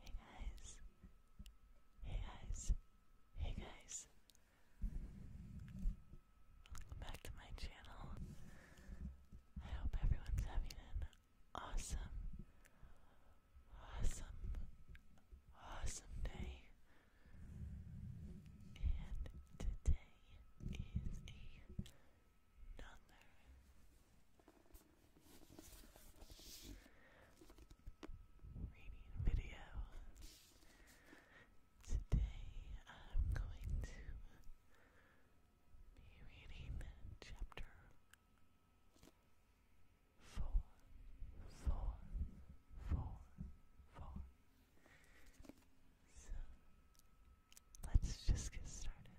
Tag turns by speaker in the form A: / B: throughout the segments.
A: Hey guys. Hey guys. Hey guys. back to my channel. I hope everyone's having an awesome, awesome, awesome day. And today is another reading video. Today I'm going to be reading chapter four, four, four, four. So let's just get started.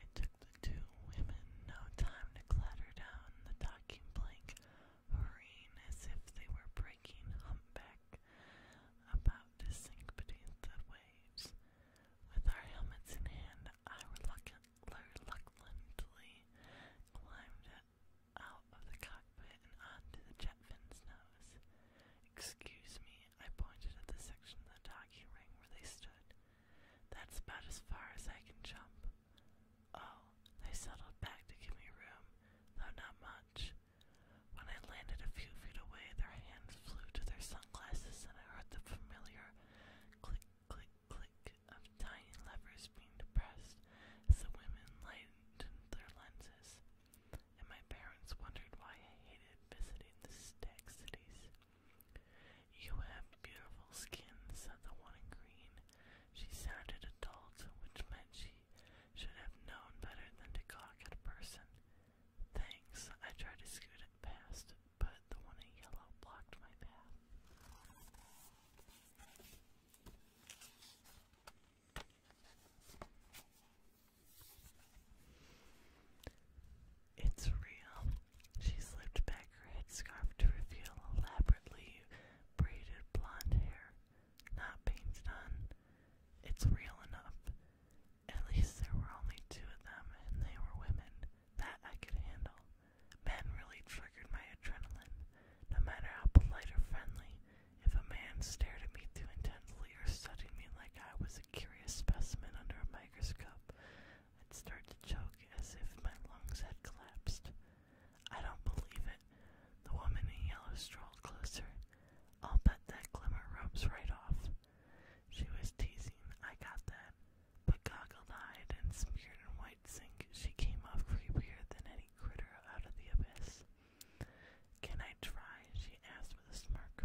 A: It took the two women no time to clatter down the docking plank hurrying as if they were breaking humpback, about to sink beneath the waves. With our helmets in hand, I reluctantly climbed out of the cockpit and onto the jet fin's nose. Excuse me, I pointed at the section of the docking ring where they stood. That's about as far as I can jump. Oh, they settled back to give me room, though not much. When I landed a few feet away, their hands flew to their sunglasses, and I heard the familiar click, click, click of tiny levers being depressed as the women lightened their lenses. And my parents wondered why I hated visiting the stag cities. You have beautiful skin, said the one in green. She sounded adult, which meant she should have known better than to cock at a person. Thanks, I tried to scoot it past, but the one in yellow blocked my path. It's real. She slipped back her headscarf to reveal elaborately braided blonde hair, not painted on. It's real enough. At least there were only two of them, and they were women. That I could handle. Men really triggered my adrenaline. No matter how polite or friendly, if a man stared at me too intensely or studied me like I was a curious specimen under a microscope, I'd start to choke as if my lungs had collapsed. I don't believe it. The woman in yellow strolled closer. I'll bet that glimmer rubs right off. She was teasing, I got that. But goggled eyed and smeared in white sink, she came off creepier than any critter out of the abyss. Can I try? she asked with a smirk.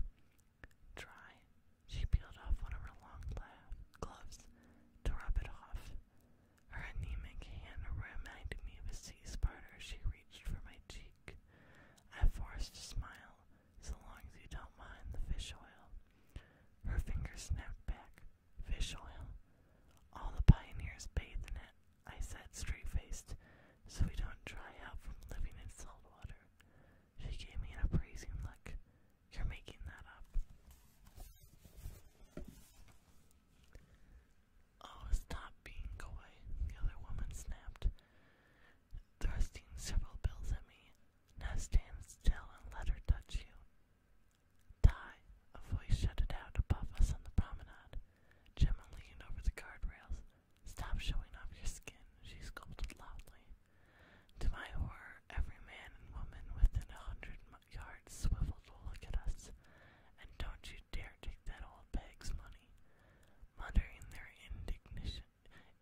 A: Try? She peeled off one of her long gloves to rub it off. Her anemic hand reminded me of a sea-spider. She reached for my cheek. I forced a smile. So long as you don't mind the fish oil. Her finger snapped back. Fish oil. All the pioneers bathed in it. I said straight-faced, so we don't dry out from living in salt water. She gave me an appraising look. You're making that up. Oh, stop being coy, the other woman snapped, thrusting several bills at me. Now stand still and let her touch you. Die, a voice shouted out above us on the promenade. Gemma leaned over the guardrails. Stop showing off your skin, she scolded loudly. To my horror, every man and woman within a hundred some yard swivel to look at us, and don't you dare take that old bag's money. Muttering their indignation,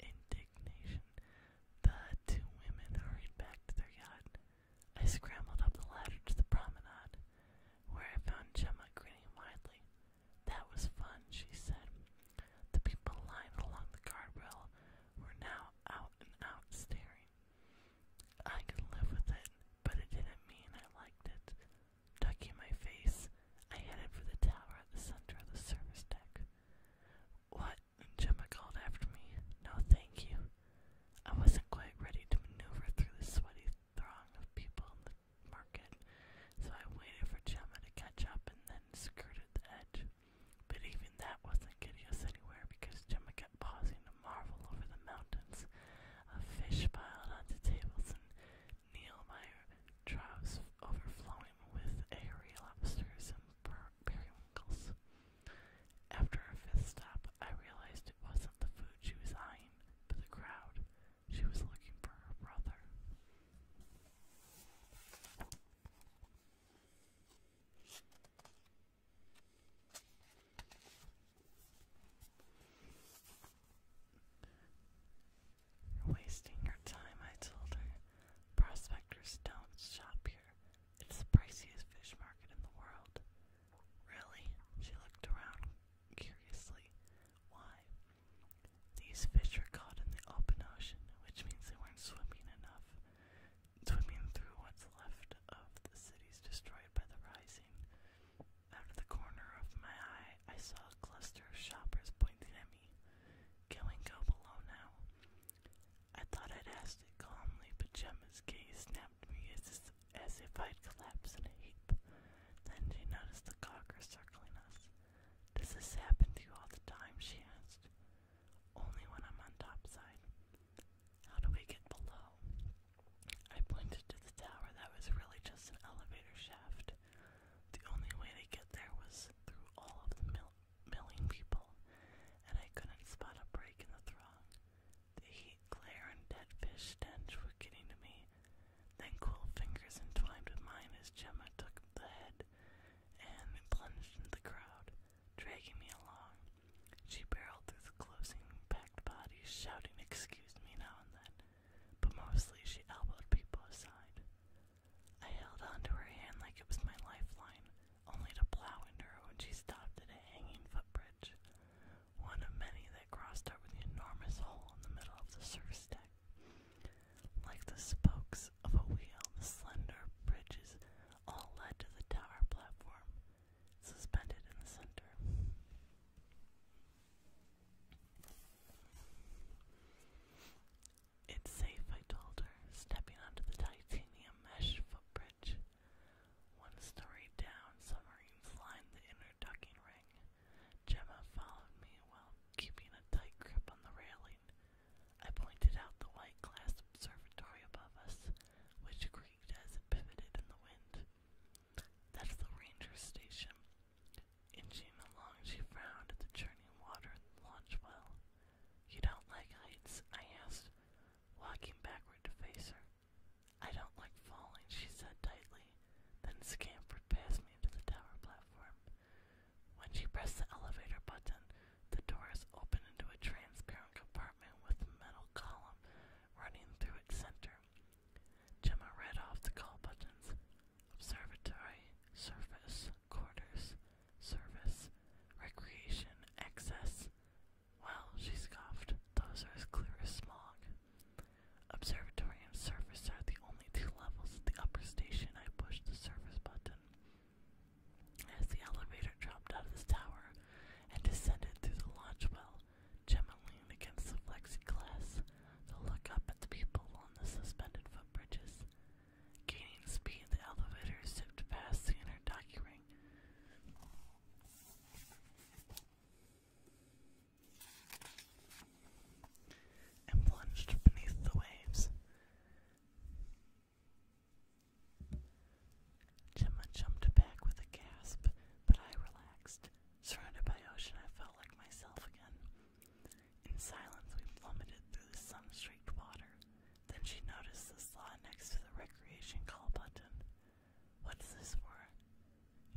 A: indignation, the two women hurried back to their yacht. I scrambled up the ladder to the promenade, where I found Gemma grinning widely. That was fun, she said. The people lined along the guardrail were now out and out staring. I could live with it, but it didn't mean I liked it. Ducking my face, I headed for the tower at the center of the service deck. What? Gemma called after me. No, thank you. I wasn't quite ready to maneuver through the sweaty throng of people in the market, so I waited for Gemma to catch up and then skirted the edge. But even that wasn't getting us anywhere because Gemma kept pausing to marvel over the mountains of fish piled onto tables and Neilmeyer troughs overflowing with airy lobsters and per periwinkles. After her fifth stop, I realized it wasn't the food she was eyeing, but the crowd. She was looking for her brother. You're wasting your time, I told her. Prospectors don't shop here. It's the priciest fish market in the world. Really? She looked around curiously. Why? These fish were caught in the open ocean, which means they weren't swimming enough. Swimming through what's left of the cities destroyed by the rising, out of the corner of my eye, I saw a cluster of shoppers pointing at me. Can we below now? I thought I'd asked it calmly, but Gemma's gaze snapped me as, as if I'd collapsed in a heap. Then she noticed the cocker circling us. Does this happen to you all the time? she asked. Only when I'm on top side. How do we get below? I pointed to the tower that was really just an elevator shaft. The only way to get there was through all of the mill milling people, and I couldn't spot a break in the throng. The heat, glare, and dead fish stench were getting to me. Then cool fingers entwined with mine as Gemma took the head and plunged into the crowd, dragging me along. She barreled through the closing packed bodies, shouting, Excuse me now and then, but mostly she elbowed people aside. I held onto her hand like it was my lifeline, only to plow into her when she stopped at a hanging footbridge, one of many that crossed over the enormous hole in the middle of the surface deck, Like the spokes of a wheel, the slender bridges all led to the tower platform, suspended in the center. It's safe, I told her, stepping onto the titanium mesh footbridge. One story down, submarines lined the inner docking ring. Gemma followed me while keeping a tight grip on the railing. I pointed out the white glass observatory above us, which creaked as it pivoted in the wind. That's the ranger station. Inching along, she frowned at the churning water in the launch well. You don't like heights? I asked, walking backward to face her. I don't like falling, she said tightly, then scampered past me to the tower platform. When she pressed the elevator button, the doors open into a transparent compartment with a metal column running through its center. Gemma read off the call buttons. Observatory, service, quarters, service, recreation, access. Well, she scoffed, those are as clear as smog. Observatory and service are the only two levels the upper station I pushed the service button. As the elevator dropped out of the tower and descended through the launch well, Gemma leaned against the glass to look up at the people on the suspended footbridges. Gaining speed, the elevator zipped past the inner docking ring. And plunged beneath the waves. Gemma jumped back with a gasp, but I relaxed. Surrounded by ocean, I felt like myself again. In silence, we plummeted through the sun-streaked water. Then she noticed the slot next to the recreation call button. What's this for?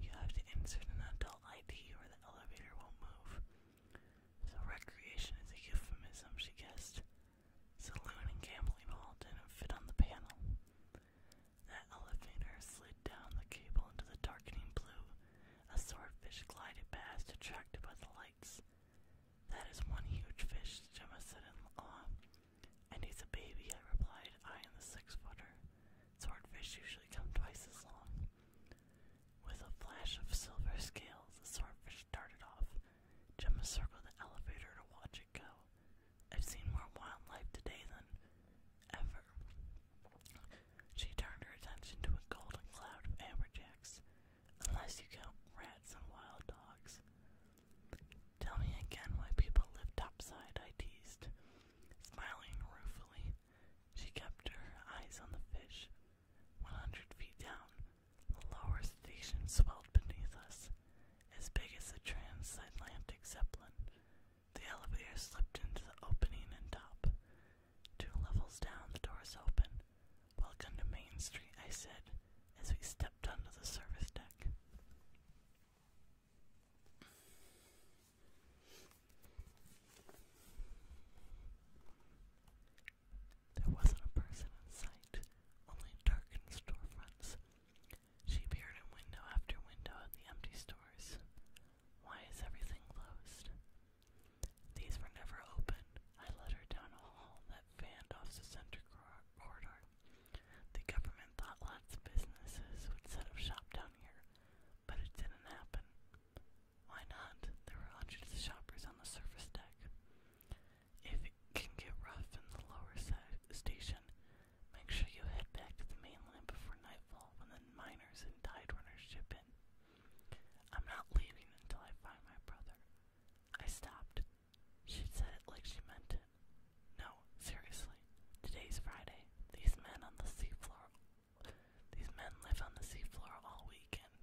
A: You have to insert an adult ID or the elevator won't move. So recreation is a euphemism, she guessed. Saloon and gambling hall didn't fit on the panel. That elevator slid down the cable into the darkening blue. A swordfish glided past, attracted by the lights. That is one huge fish, Jemma said in awe. And he's a baby, I replied, I am the six footer. Swordfish usually come twice as long. With a flash of silver scales, the swordfish darted off. Gemma circled the elevator to watch it go. I've seen more wildlife today than ever. She turned her attention to a golden cloud of amberjacks, unless you count rats and wild dogs. Tell me again why people live topside, I teased. Smiling ruefully, she kept her eyes on the fish, 100 feet down, the lower station swelled beneath us, as big as a transatlantic zeppelin. The elevator slipped into the opening and top. Two levels down, the doors open. Welcome to Main Street, I said, as we stepped onto the service deck. There wasn't a person in sight, only darkened storefronts. She peered in window after window at the empty stores. Why is everything closed? These were never open. I led her down a hall that fanned off the center cor corridor. The government thought lots of businesses would set up shop down here, but it didn't happen. Why not? There were hundreds of shoppers on the surface deck. If it can get rough in the lower side station, make sure you head back to the mainland before nightfall when the miners and tide runners ship in. I'm not leaving until I find my brother. I stopped. She said it like she meant it. No, seriously. Today's Friday. These men on the seafloor these men live on the seafloor all weekend.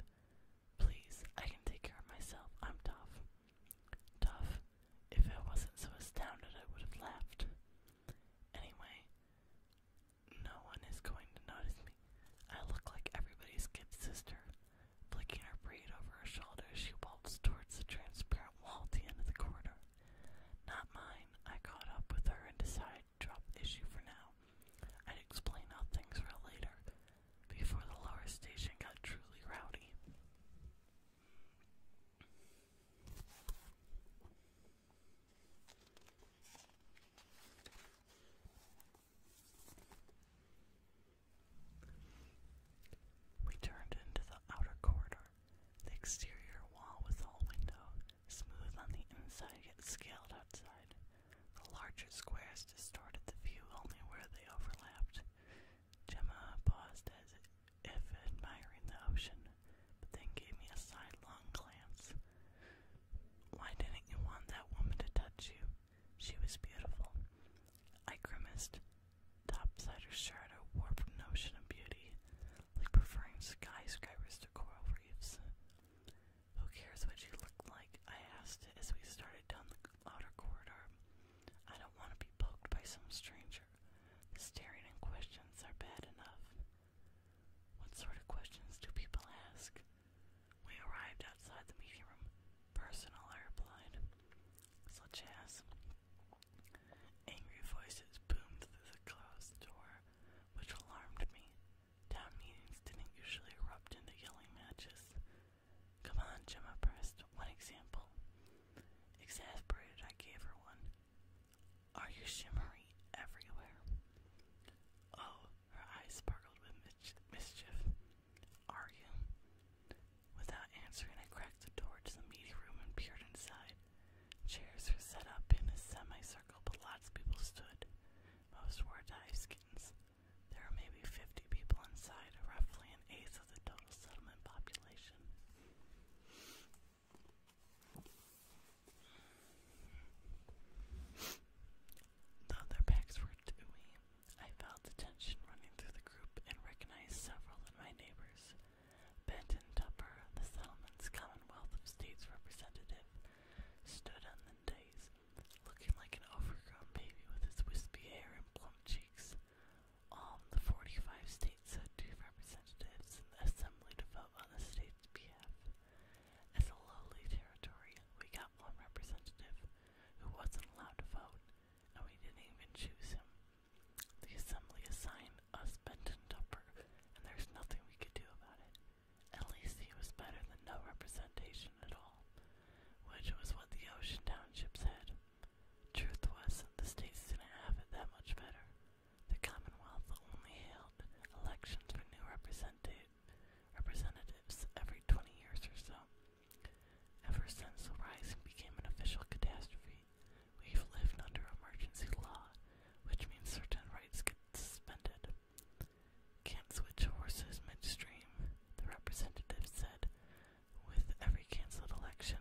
A: Please, I can take care of myself. I'm tough. Tough. If I wasn't so astounded, I would have laughed. Anyway, no one is going to notice me. I look like everybody's kid sister. Flicking her braid over her shoulder, she waltzed towards the transparent wall at the end of the corridor. Not mine. I caught up with her and decided to drop the issue for now. I'd explain how things were later, before the lower station got truly rowdy. We turned into the outer corridor. The exterior wall was all window, smooth on the inside scaled outside. The larger squares distorted the view only where they overlapped. Gemma paused as if admiring the ocean, but then gave me a sidelong glance. Why didn't you want that woman to touch you? She was beautiful. I grimaced. The her shirt, a warped notion of beauty, like preferring skyscrapers to coral reefs. Who cares what you look like? I asked as we started down the outer corridor. I don't want to be poked by some stranger. The staring and questions are bad enough. What sort of questions do people ask? We arrived outside the meeting room. Personal, I replied. Such as angry voices boomed through the closed door, which alarmed me. Town meetings didn't usually erupt into yelling matches. Come on, Gemma pressed. One example. Exasperated, I gave her one. Are you shimmery everywhere? Oh, her eyes sparkled with mischief. Are you? Without answering, I cracked the door to the meeting room and peered inside. Chairs were set up in a semicircle, but lots of people stood. Most wore dive skins. There are maybe 50 people inside, roughly an eighth of the total settlement population. Though their backs were to I felt tension running through the group and recognized several of my neighbors. Benton Tupper, the settlement's Commonwealth of States representative, stood on looking like an overgrown baby with his wispy hair and plump cheeks. All um, the 45 states had two representatives in the assembly to vote on the state's behalf. As a lowly territory, we got one representative who wasn't allowed to vote, and we didn't even choose him. The assembly assigned us Benton Tupper, and there's nothing we could do about it. At least he was better than no representation at all, which was what the ocean townships had. Truth was, the states didn't have it that much better. The Commonwealth only held elections for new representatives every 20 years or so. Ever since the rising became an official catastrophe, we've lived under emergency law, which means certain rights get suspended. Can't switch horses midstream, the representative said. With every cancelled election,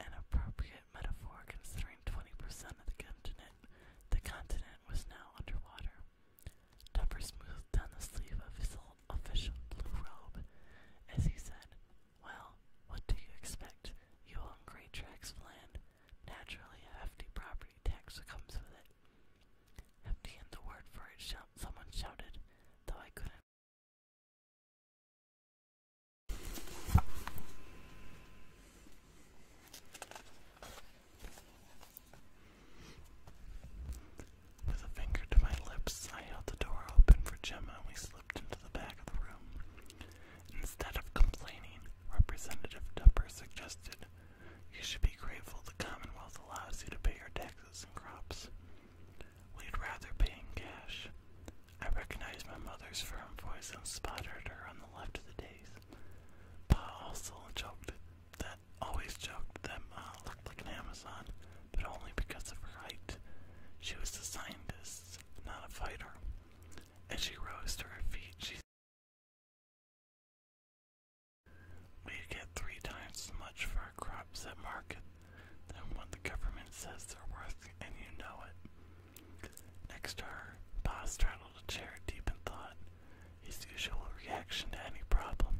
A: an appropriate metaphor considering 20% of the continent, the continent was now underwater. Tupper smoothed down the sleeve of his old official blue robe as he said, Well, what do you expect? You own great tracts of land. Naturally, a hefty property tax comes with it. Hefty and the word for it shout someone shouted, though I couldn't.
B: With a finger to my lips, I held the door open for Gemma and we slipped into the back of the room. Instead of complaining, Representative Tupper suggested you should be grateful the Commonwealth allows you to pay your taxes and crops. We'd rather pay in cash. I recognized my mother's firm voice and spotted her on the left of the dais. Pa also joked that always joked them. Ma looked like an Amazon, but only because of her height. She was a scientist, not a fighter. As she rose to her
A: feet, she we get three times
B: as much for our crops at market than what the government says they're worth, and you know it. Next to Boss Pa straddled a chair deep in thought, his usual reaction to any problem.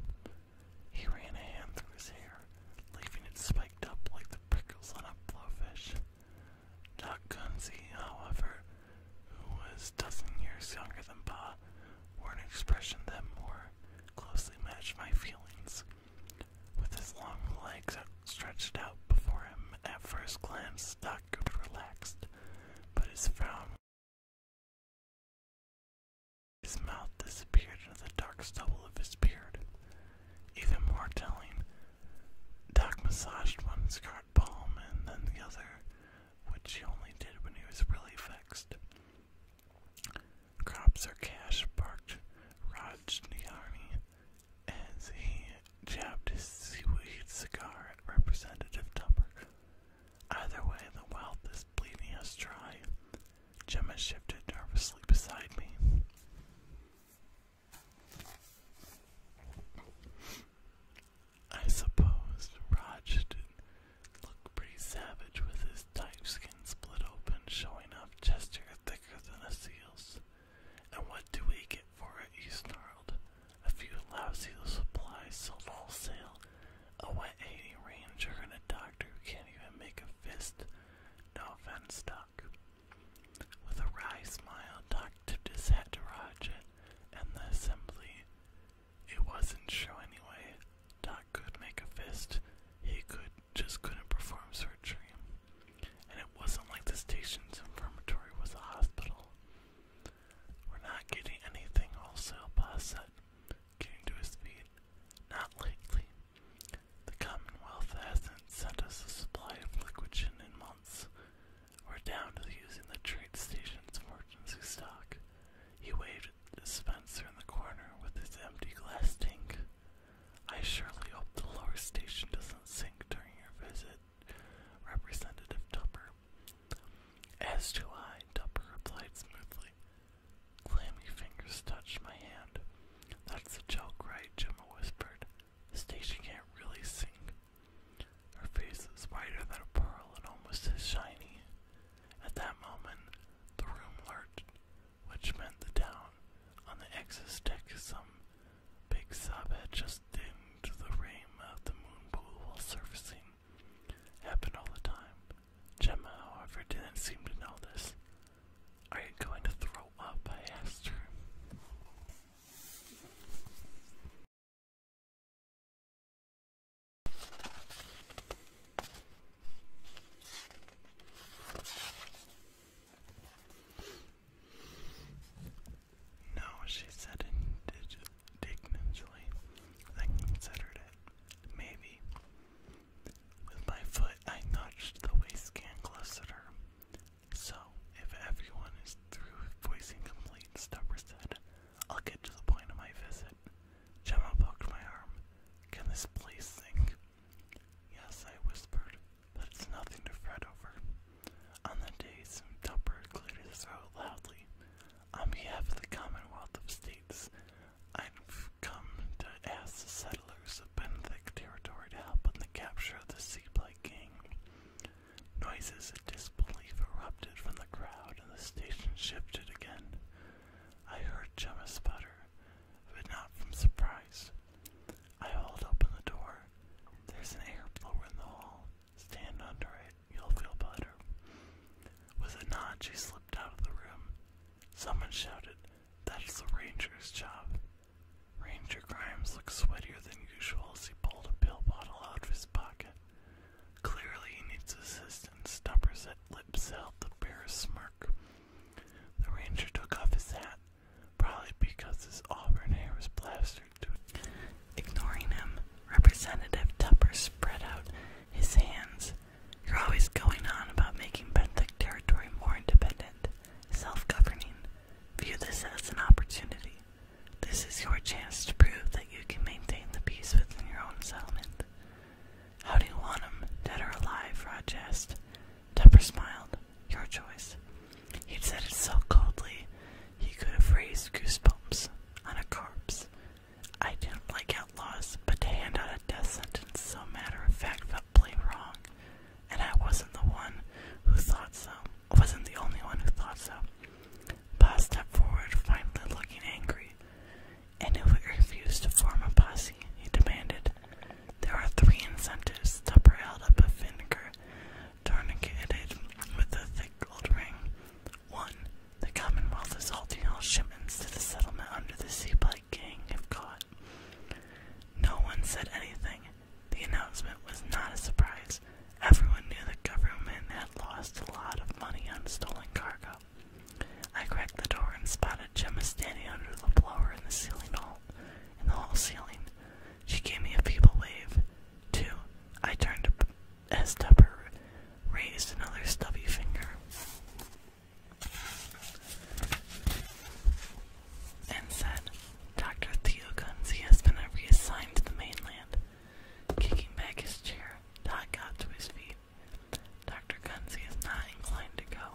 B: He ran a hand through his hair, leaving it spiked up like the prickles on a blowfish. Doc Gunsey, however, who was a dozen years younger than Pa, wore an expression that more closely matched my feelings. With his long legs stretched out before him, at first glance, Doc looked relaxed,
A: but his frown. His mouth disappeared
B: into the dark stubble of his beard. Even more telling, Doc massaged one scarred palm and then the other, which he only did when he was really vexed. Crops or cash barked Rajniani as he jabbed his seaweed cigar at Representative Tupper. Either way, the wealth is bleeding us dry. Gemma shifted nervously beside me. I suppose Raj did look pretty savage with his type skin split open, showing off gesture thicker than a seal's. And what do we get for it? he snarled. A few lousy supplies sold wholesale, a wet 80 ranger, and a doctor who can't even make a fist. No offense, With a wry smile, Doc tipped Roger and the assembly. It wasn't sure anyway. Doc could make a fist, he could just couldn't perform surgery. And it wasn't like the station's infirmary was a hospital. We're not getting anything wholesale, boss said, getting to his feet. Not likely. The Commonwealth hasn't sent us a supply of liquid gin in months. We're down to using the trade station's emergency stock. He waved at the dispenser in the corner with his empty glass tank. I surely hope the lower station doesn't sink during your visit, Representative Tupper. As to I, Tupper replied smoothly. Clammy fingers touched my hand. That's a joke, right? Gemma whispered station can't really sing. Her face is whiter than a pearl and almost as shiny. At that moment, the room lurched, which meant the down on the ex's deck some big sob had just dinged the rim of the moon pool while surfacing. Happened all the time. Gemma, however, didn't seem to know this. Are you going to throw up? I asked her. No, she said indignantly, I considered it. Maybe. With my foot, I nudged the waistband closer so, if everyone is through with voicing complete, Stubber said, I'll get to the point of my visit. Gemma poked my arm. Can this place sink? Yes, I whispered, but it's nothing to fret over. On the day, Stubber cleared his throat loudly. On behalf of the Commonwealth of States, I've come to ask the settlers of Benthic territory to help in the capture of the Sea Seablight Gang. Noises of disbelief erupted from the crowd, and the station shifted again. I heard Gemma sputter, but not from surprise. I hauled open the door. There's an air blower in the hall. Stand under it, you'll feel better. With a nod, she slipped out of the room. Someone shouted, That's the ranger's job. Ranger Grimes looked sweatier than usual as he pulled a pill bottle out of his pocket. Clearly he needs assistance. Tupper's lips held the bear's smirk. The ranger took off his hat, probably because his auburn hair was plastered to it. Ignoring him, Representative Tupper spread
A: out his hands. You're always going on about making Benthic territory more independent, self-governing. View this as an opportunity. This is your chance to prove that you can maintain the peace within your own settlement. How do you want him, dead or alive? Raj asked. Tupper smiled. Your choice. He'd said it so coldly he could have raised goosebumps on a corpse. I didn't like outlaws, but to hand out a death sentence so matter of fact felt plain wrong and I wasn't the one who thought so. I wasn't the only one who thought so. Pa stepped forward, finally looking angry. And if we refuse to form a posse, he demanded, there are three incentives. Tupper held up a finger, tourniqueted with a thick gold ring. One, the Commonwealth is halting all shipments to the settlement under the Sea by King. if caught. No one said anything, the announcement was not a surprise. Everyone knew the government had lost a lot of money on stolen cargo. I cracked the door and spotted Gemma standing under the blower in the ceiling hole, in the hall ceiling. She gave me a feeble wave. Two, I turned to as Tupper raised another stubby finger and said, Dr. Theo Gunzi has been reassigned to the mainland. Kicking back his chair, Doc got to his feet. Dr. Gunzi is not inclined to go.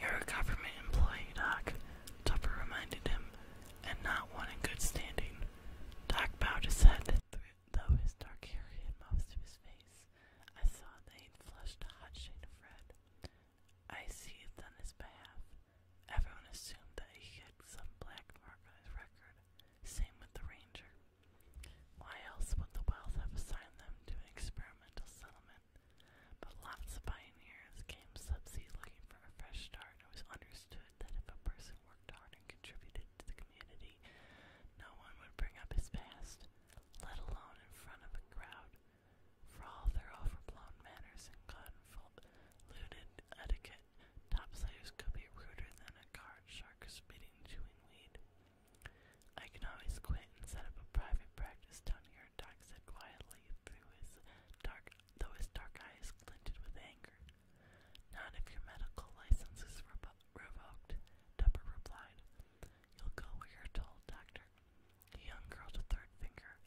A: You're a government employee, Doc, Tupper reminded him, and not one in good standing. Doc bowed his head, though his dark hair hid most of his face. I saw that he'd flushed a hot shade of red. I seethed on his behalf. Everyone assumed that he had some black mark on his record. Same with the ranger. Why else would the wealth have assigned them to an experimental settlement? But lots of pioneers came subsea looking for a fresh start, and it was understood that if a person worked hard and contributed to the community, no one would bring up his past, let alone in front of a crowd. For all their overblown manners and convoluted etiquette, topsiders could be ruder than a card shark spitting chewing weed. I can always quit and set up a private practice down here, Doc said quietly, through his dark, though his dark eyes glinted with anger. Not if your medical license is revo revoked, Dupper replied. You'll go where you're told, Doctor. He unfurled a third finger,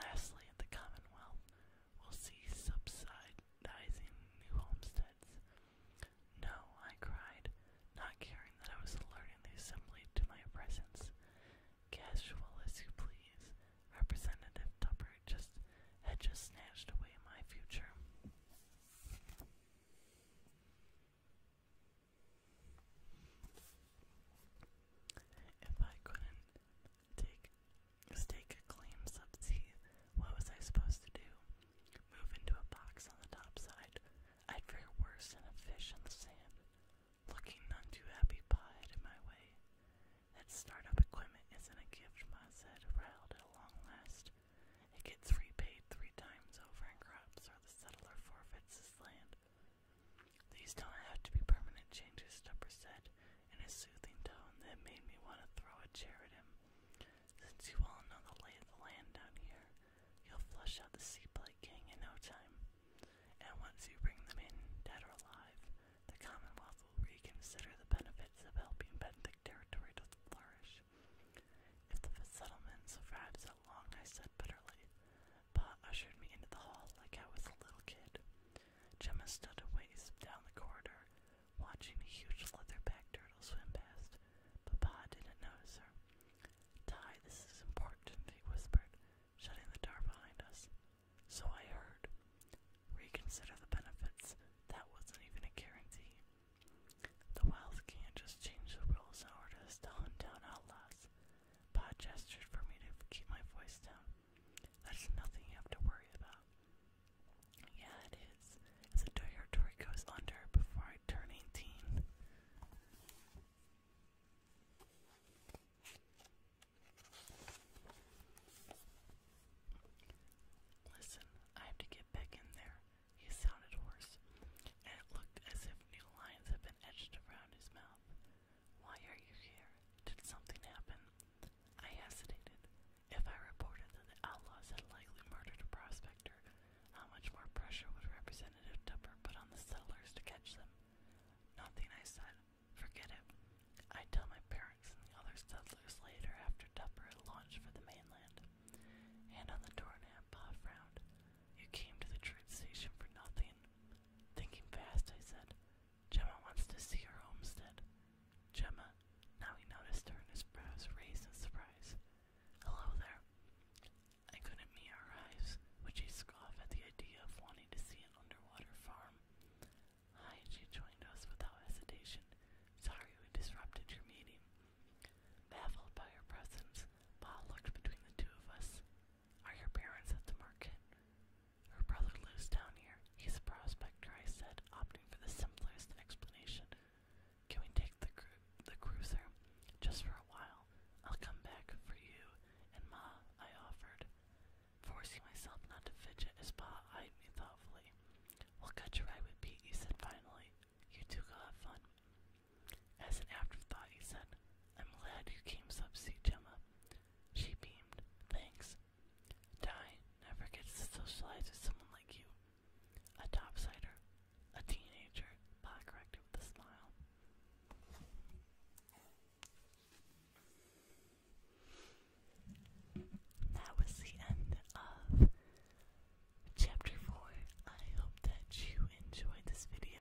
A: Lastly, the Commonwealth will see subsidizing new homesteads. No, I cried, not caring that I was alerting the assembly to my presence. Casual as you please, Representative Tupper just had just snatched away my future. If I couldn't take stake claims of teeth, what was I supposed to do? Move into a box on the top side? I'd fare worse than a fish in the sand. Looking none too happy, Pa headed in my way. That startup equipment isn't a gift, Ma said, riled at long last. It gets repaid three times over in crops, or the settler forfeits his land. These don't have to be permanent changes, Stupper said in a soothing tone that made me want to throw a chair at him. Since you all know the lay of the land down here, you'll flush out the sea Seablight King in no time. And once you bring them in, dead or alive, the Commonwealth will reconsider the benefits of helping Benedict territory to flourish. If the settlement survives that long, I said bitterly, Pa ushered me into the hall like I was a little kid. Gemma stood a ways down the corridor, watching the huge leatherback turtle swim past, but Pa didn't notice her. Ty, this is important, he whispered, shutting the door behind us. So I heard. Reconsider the benefits. That wasn't even a guarantee. The Wilds can't just change the rules in order to hunt down outlaws. Pod gestured for me to keep my voice down. That's nothing you have to worry about. Yeah, it is. As the territory goes under before I turn 18. Listen, I have to get back in there. He sounded hoarse, and it looked as if new lines had been etched around his mouth. Why are you here? Did something happen? I hesitated. If I reported that the outlaws had likely murdered a prospector, how much more pressure would Representative Tupper put on the settlers to catch them? Nothing, I said. Forget it. I'd tell my parents and the other settlers later after Tupper had launched for the mainland. And on the doorknob, Pa frowned. You came to the train station for nothing. Thinking fast, I said, Gemma wants to see her homestead. Gemma, now he noticed her and his brows raised in surprise. Hello there. I couldn't meet our eyes, which she scoffed at the idea of wanting to see an underwater farm. Hi, she joined us without hesitation. Sorry we disrupted your meeting. Baffled by her presence, Paul looked between the two of us. Are your parents at the market? Her brother lives down here. He's a prospector, I said, opting for the simplest explanation. Can we take the, the cruiser? Just for a while. I'll come back for you and Ma, I offered. Forcing myself not to fidget as Pa eyed me thoughtfully. We'll cut your ride with Pete, he said finally. You two go have fun. As an afterthought, he said, I'm glad you came subsea, Gemma. She beamed. Thanks. Di never gets to socialize with someone like you. A topsider. A teenager. Pa corrected with a smile. That was the end of Chapter 4. I hope that you enjoyed this video.